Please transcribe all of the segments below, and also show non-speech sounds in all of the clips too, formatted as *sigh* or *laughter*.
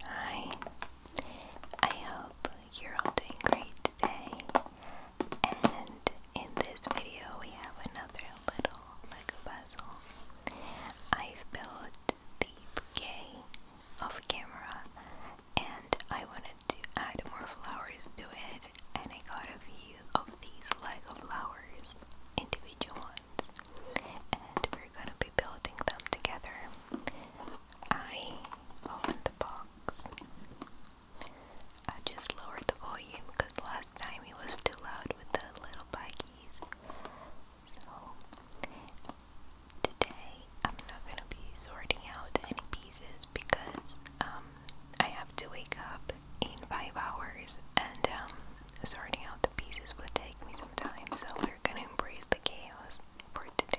Hi, I hope you're all doing great today. And in this video, we have another little Lego puzzle. I've built the bouquet of camera, and I wanted to add more flowers to it. And I got a few of these Lego flowers, individual ones, and we're gonna be building them together. I opened the box. I just lowered the volume because last time it was too loud with the little baggies. So today I'm not gonna be sorting out any pieces because um, I have to wake up in five hours, and um, sorting out the pieces would take so we're gonna embrace the chaos for today.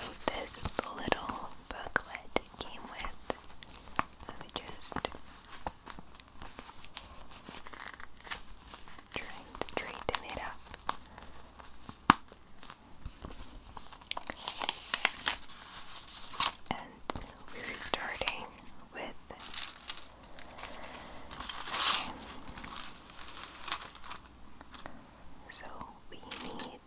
So this little booklet came with. Let me just try it up. And we're starting with So we need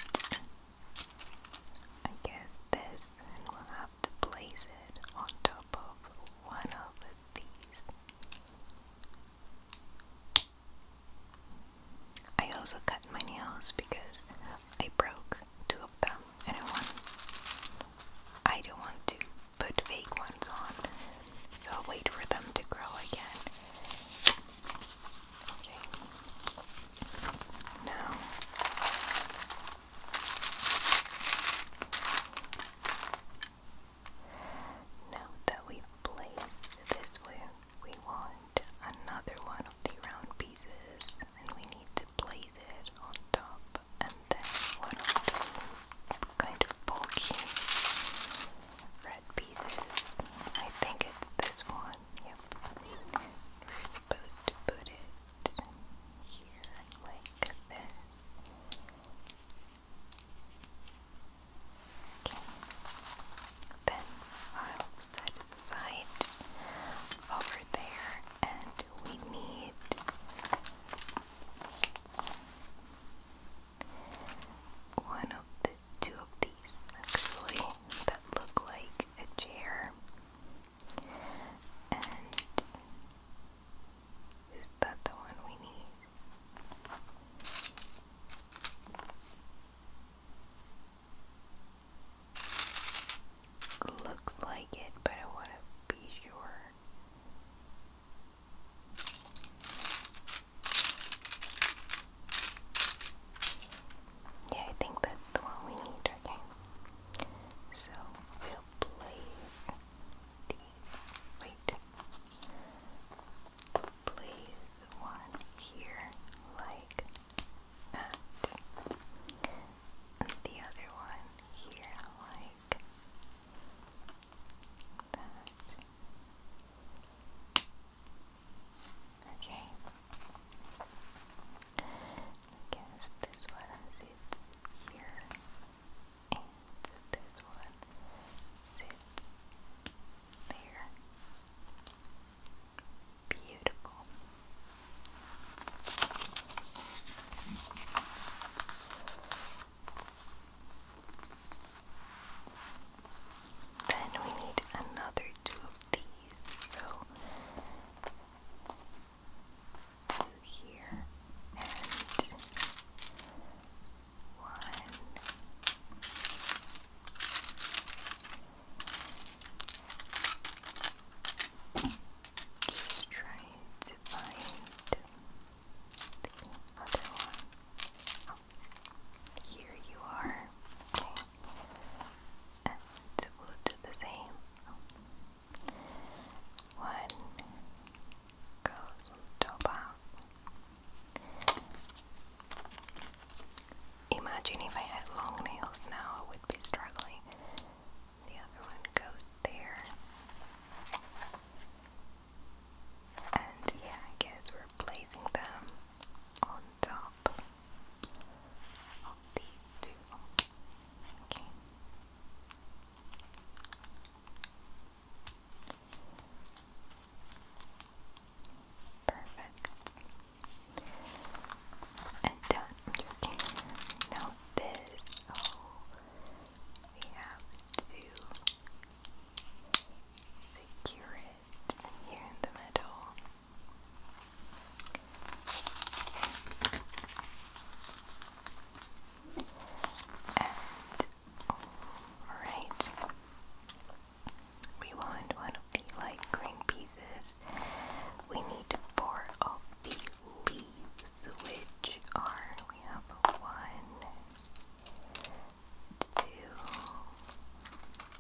I guess this and we'll have to place it on top of one of these. I also cut my nails because I broke two of them and I want I don't want to put fake ones on, so I'll wait for them to grow again. Okay. Now now that we place this where we want, another one of the round pieces and we need to place it on top and then one of the kind of bulky red pieces. I think it's this one. Yep. We're supposed to put it here like this. Then I'll set side over there, and we need one of the two of these actually that look like a chair. And is that the one we need? Looks like it, but I want to be sure. Yeah, I think that's the one we need, okay? So we'll place the wait. Place one here like that. And the other one here, like that. Okay. I guess this one sits here, and this one sits there beautiful. Then we need another two of these, so two here and one just try to find the other one. Oh, here you are. Okay. And we'll do the same. One goes on top out. Imagine if I had long nails now, I would be struggling. The other one goes there. And yeah, I guess we're placing them on top of these two. Okay. Perfect and down. Now this, oh, we have to secure it here in the middle. And all right. We want one of the light green pieces. We need four of the leaves, which are we have one, two,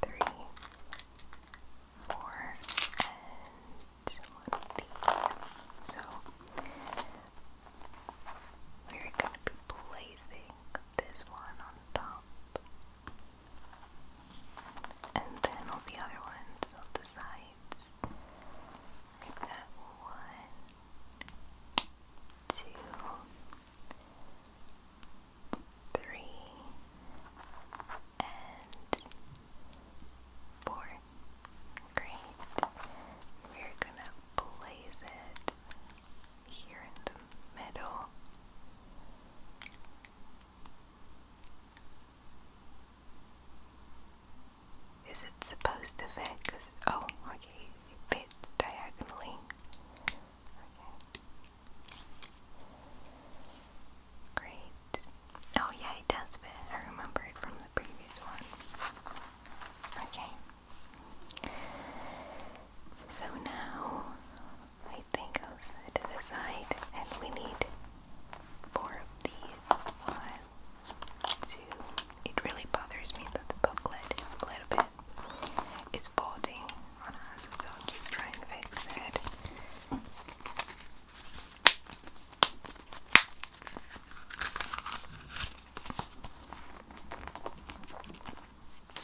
three, four, and one of So we're going to be placing this one on top and then all the other ones on the sides. that one, two, three, and four. Great. We're gonna place it here in the middle. Is it supposed to fit? Cause, oh, it fits diagonally. Great. Oh yeah, it does fit. I remember it from the previous one. Okay. So now anything else to the side, and we need four of these. One, two. It really bothers me that the booklet is a little bit it's folding on us, so just try and fix it. Okay.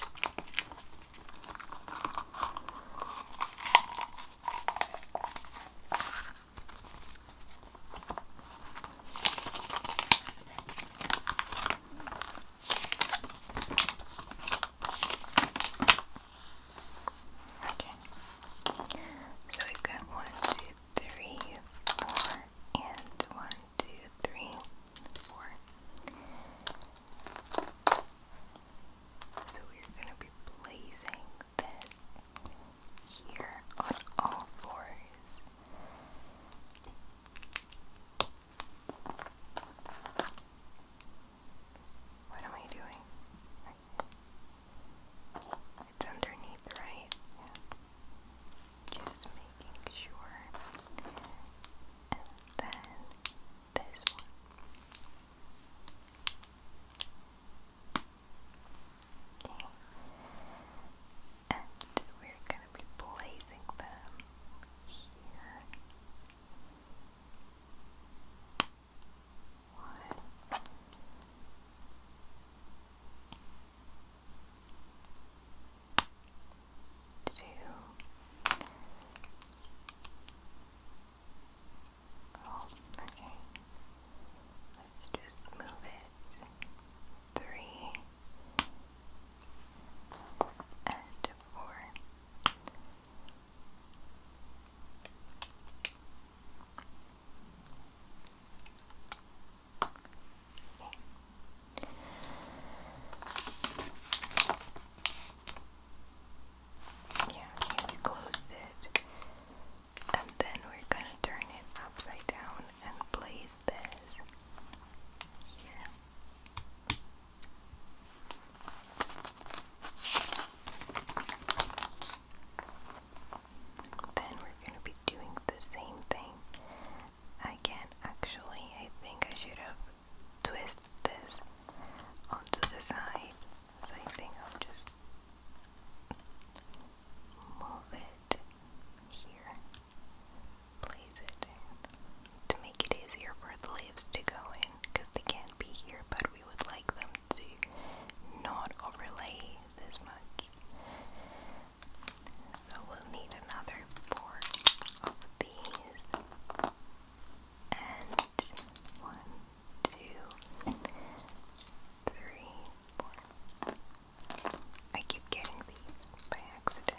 So we got one, two, three, four, and one, two, three, four. So we're gonna be placing this here on all fours. What am I doing? It's underneath, right? Yeah. Just making sure. And then this one. And we're gonna be placing them here. One. Two Oh, okay. Let's just move it three and four. Yeah, we closed it. And then we're gonna turn it upside down and place this here. Then we're gonna be doing the same thing again. Actually, I think I should have twist this onto the side. So I I'll just move it here, place it to make it easier for the leaves to go in because they can't be here, but we would like them to not overlay this much. So we'll need another four of these and one, two, three, four. I keep getting these by accident.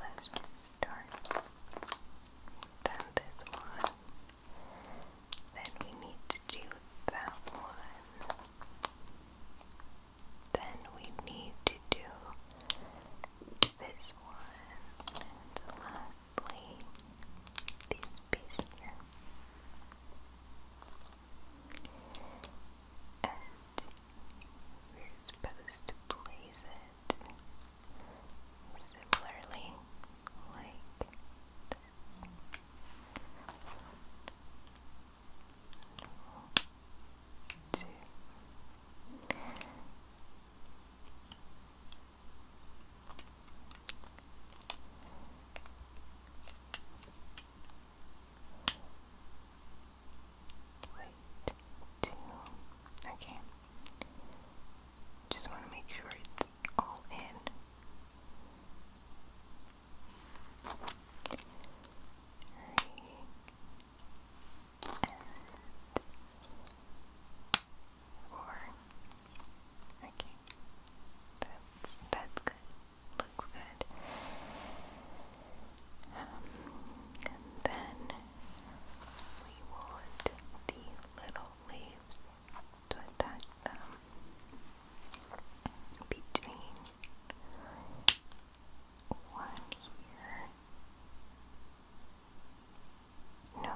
let's just start. Then this one. Then we need to do that one then we need to do this one, lastly, these pieces here. And we're supposed to place it similarly, like this two, wait, two, okay. Just want to make sure it's all in. Three, and four. Okay, that's that's good. Looks good. and then we want the little leaves to attach them between one here. No.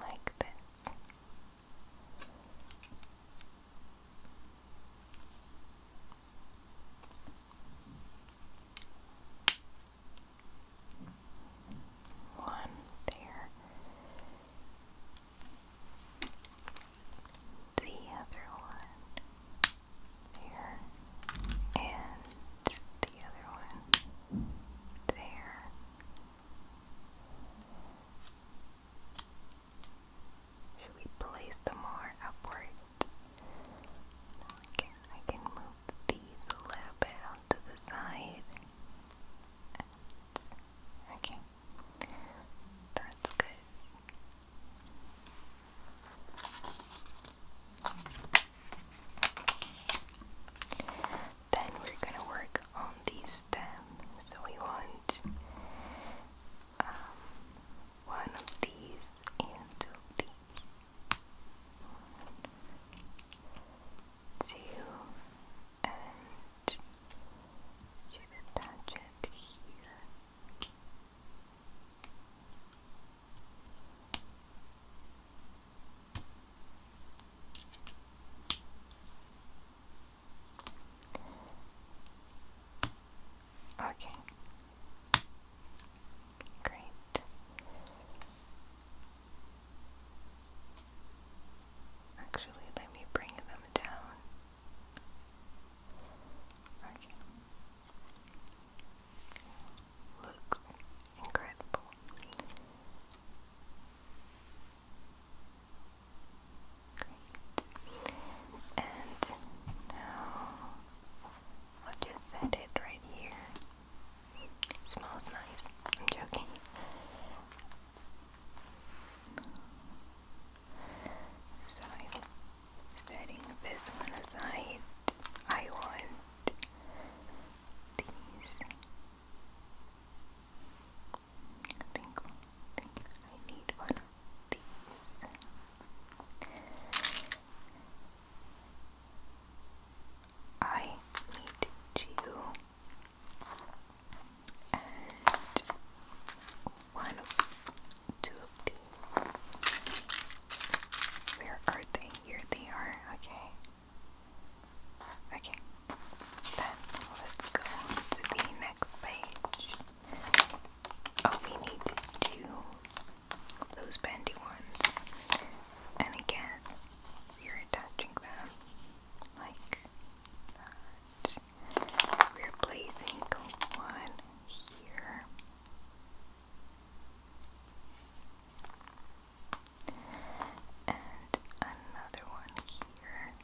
Like this. One there. The other one there. And the other one there. Should we place them more upwards? I can move these a little bit onto the side and okay, that's good. Then we're gonna work on the stem. So we want um, one of these and two of these you and you can touch it here. Okay. Great. Actually, let me bring them down. Okay. Looks incredible. Great. And now I'll just set it right here. It smells nice. I'm joking. So I'm setting this one aside. I want these. I think, I think I need one of these. I need to and one Where are they? Here they are. Okay. Okay. Then let's go to the next page. Oh, we need two of those bendy ones. And I you're attaching them like that. We're placing one here. And another one here.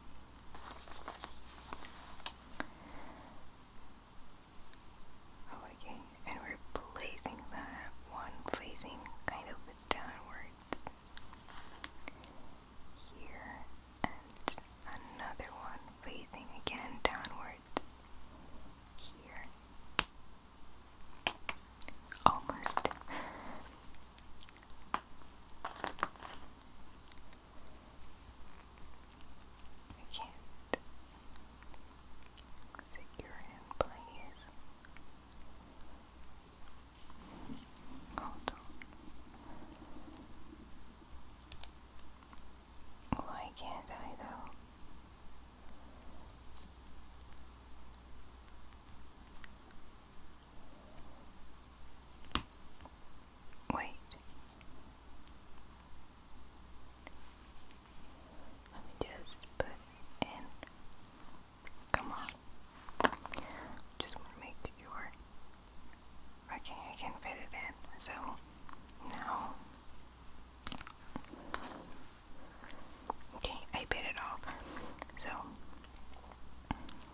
okay, and we're placing that one facing kind of downward cards here, and another one facing again downwards here. Almost. I secure in place. Hold on. Why can't I though? Wait. Let me just put in Come on. Just make sure okay, I can fit it in. So now, okay, I bit it off. So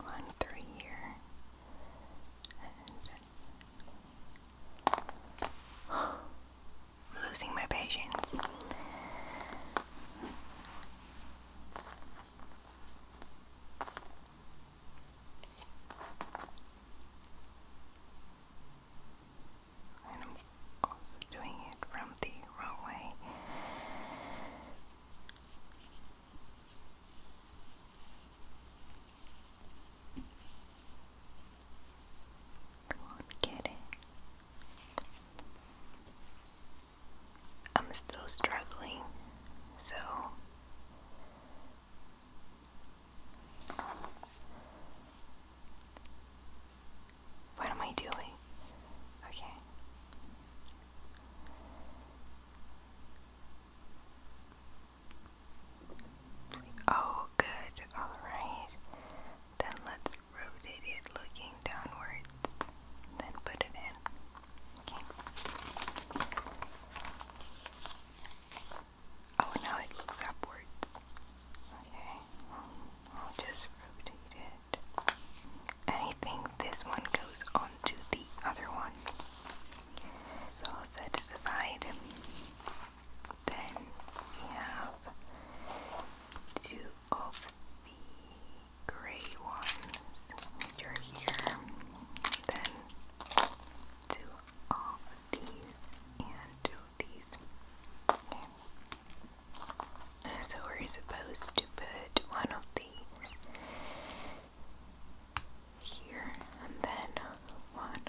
one through here, and *gasps* losing my patience. And I'm also doing it from the wrong Come on, get it. I'm still struggling, so what am I doing? Okay. Oh, good. All right. Then let's rotate it looking downwards, then put it in. Okay. Oh, now it looks upwards. Okay. I'll just rotate it. And this one goes onto the other one. So I'll set it Then we have two of the grey ones, which are here, then two of these and two these. Okay. So we're supposed to put one of these here and then one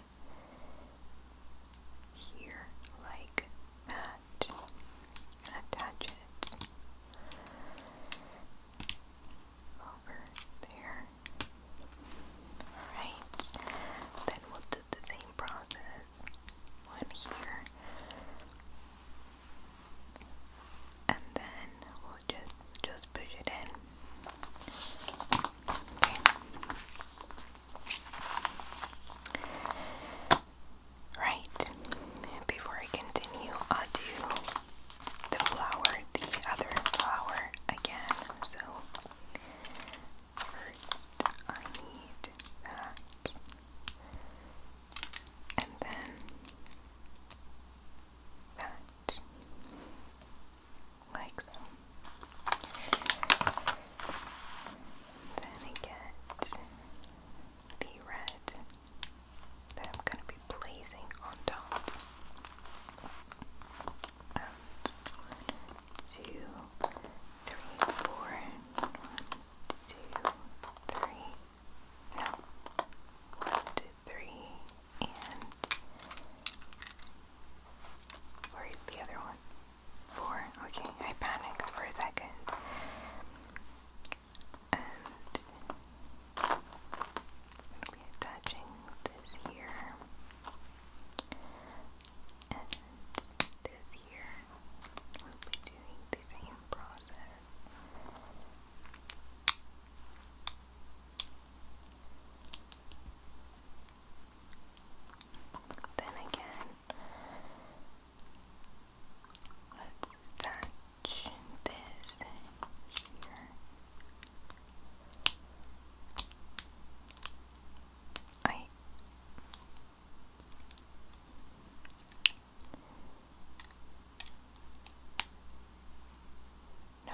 here like that and attach it over there. Alright, then we'll do the same process. One here. And then we'll just just push it in. Okay. Right, before I continue, i do the flower, the other flower again. So, first I need that, and then that, like so. Then I the red that I'm going to be placing on top. And four. One, two, three. No. One, two, three. And where is the other one? Four. Okay, I panicked for a second. And i attaching this here. And this here. We'll doing the same process. Then again, Let's touch this here. I no.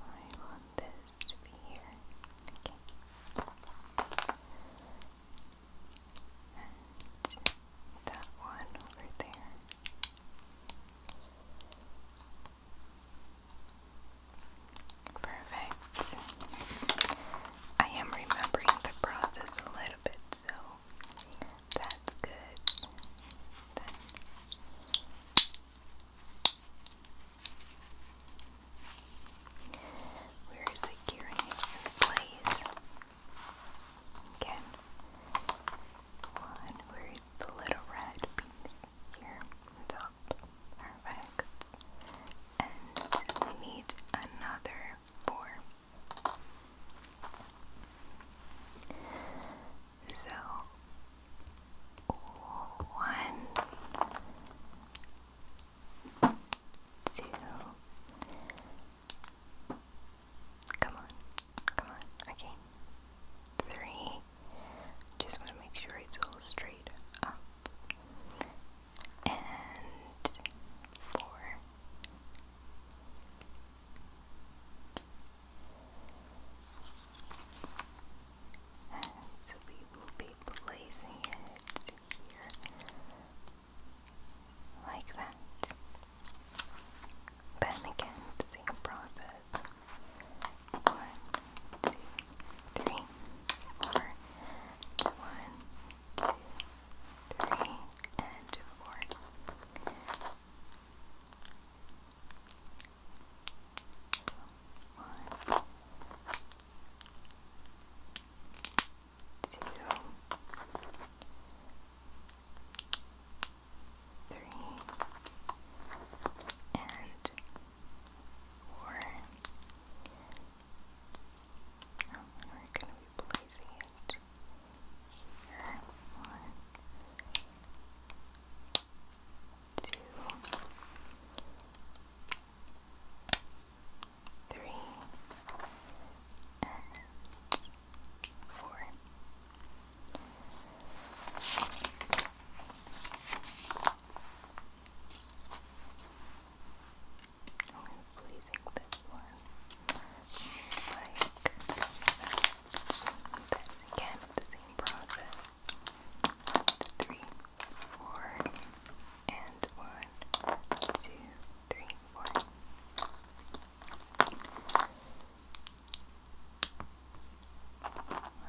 I want this here. And that one over there. Perfect. I am remembering the process a little bit, so that's good. Where is the securing in place. Again, one where is the little red piece here top. Perfect. And we need another four. So one two. Come on, come on, okay. Three. Just want to make sure it's all straight up. And four and so we will be placing it here like that. Then again, same process. One, two, three, four. One, two, three, and four. One, two, three, and four. Now we're going to be placing it here. One, two, three, and four. Only pleasing this one. Like that. Again, same process. One, two, three four, and one, two, three, four. One, two, three, and four. Five,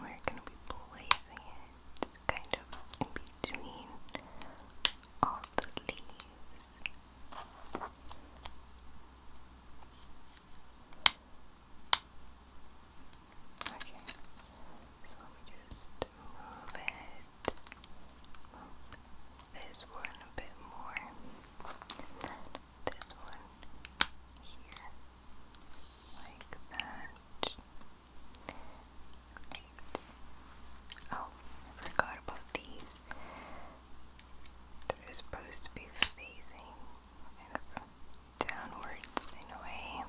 we're gonna be placing it kind of in between all the leaves. Okay, so let me just move it, this one a bit more, and then this one here, like that. Oh, forgot about these. They're supposed to be facing downwards in a way.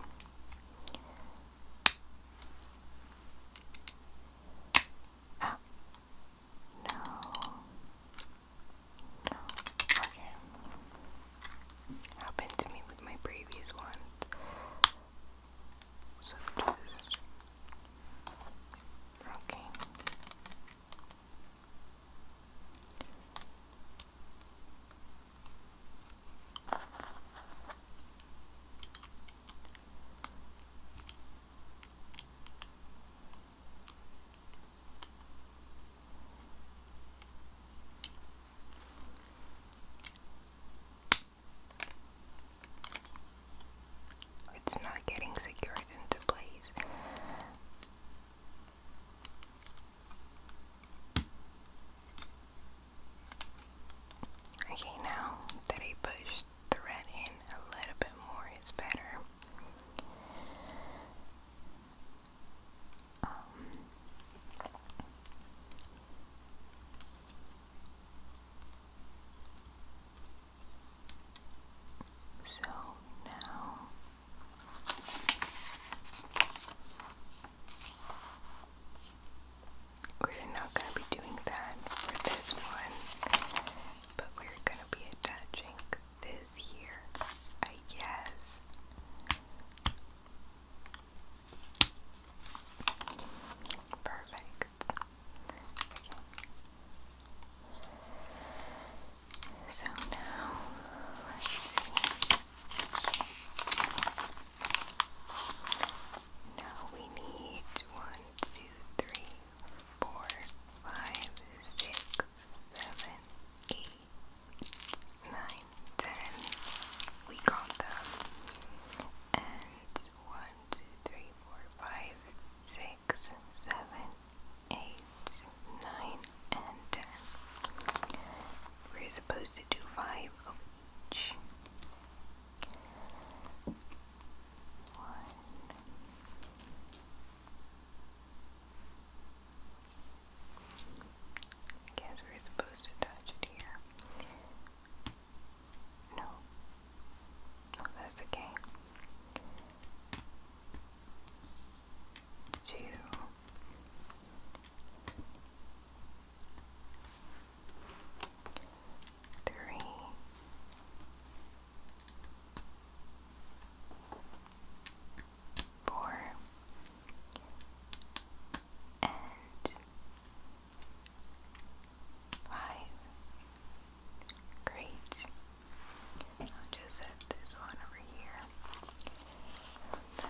Ah, no. Okay. Happened to me with my previous one. So just okay. Okay. It's not getting secured into place. Okay, now that I pushed the red in a little bit more is better. Um, so now we're not going to be doing that for this one but we're gonna be attaching this here, I guess. Perfect. So now let's see. Now we need one, two, three, four, five, six, seven, eight, nine, ten. We count them. And one, two, three, four, five, six, seven, eight, nine, and ten. We're supposed to do five of each. I guess we're supposed to touch it here. No. No, that's okay. Two three. Four and five. Great. I'll just set this one over here. then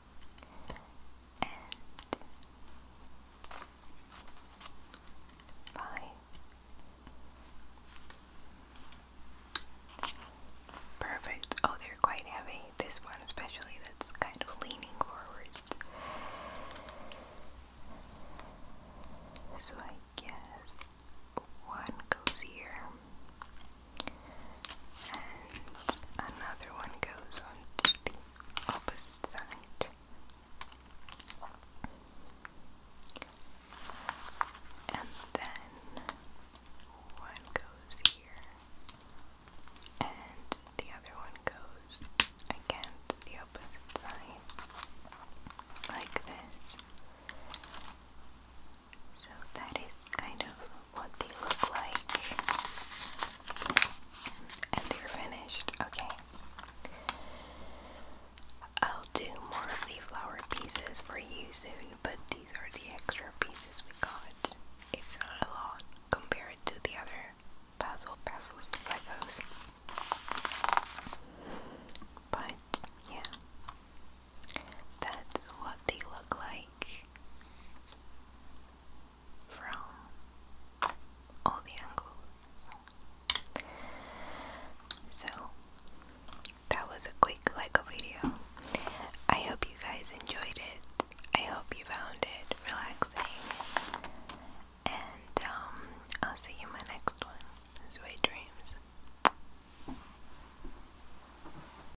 five. Perfect. Oh, they're quite heavy. This one, especially, that's kind of leaning forward. So I guess one goes here and another one goes on the opposite side. And then one goes here, and the other one goes again the opposite side, like this. So that is kind of what they look like. And they're finished. Okay. I'll do more of the flower pieces for you soon, but these are the extra pieces we got. It's not a lot compared to the other puzzle puzzles like those. But yeah, that's what they look like from all the angles. So, that was a quick Lego video. I hope you guys enjoyed it. I hope you found it relaxing. And um, I'll see you in my next one. Sweet dreams.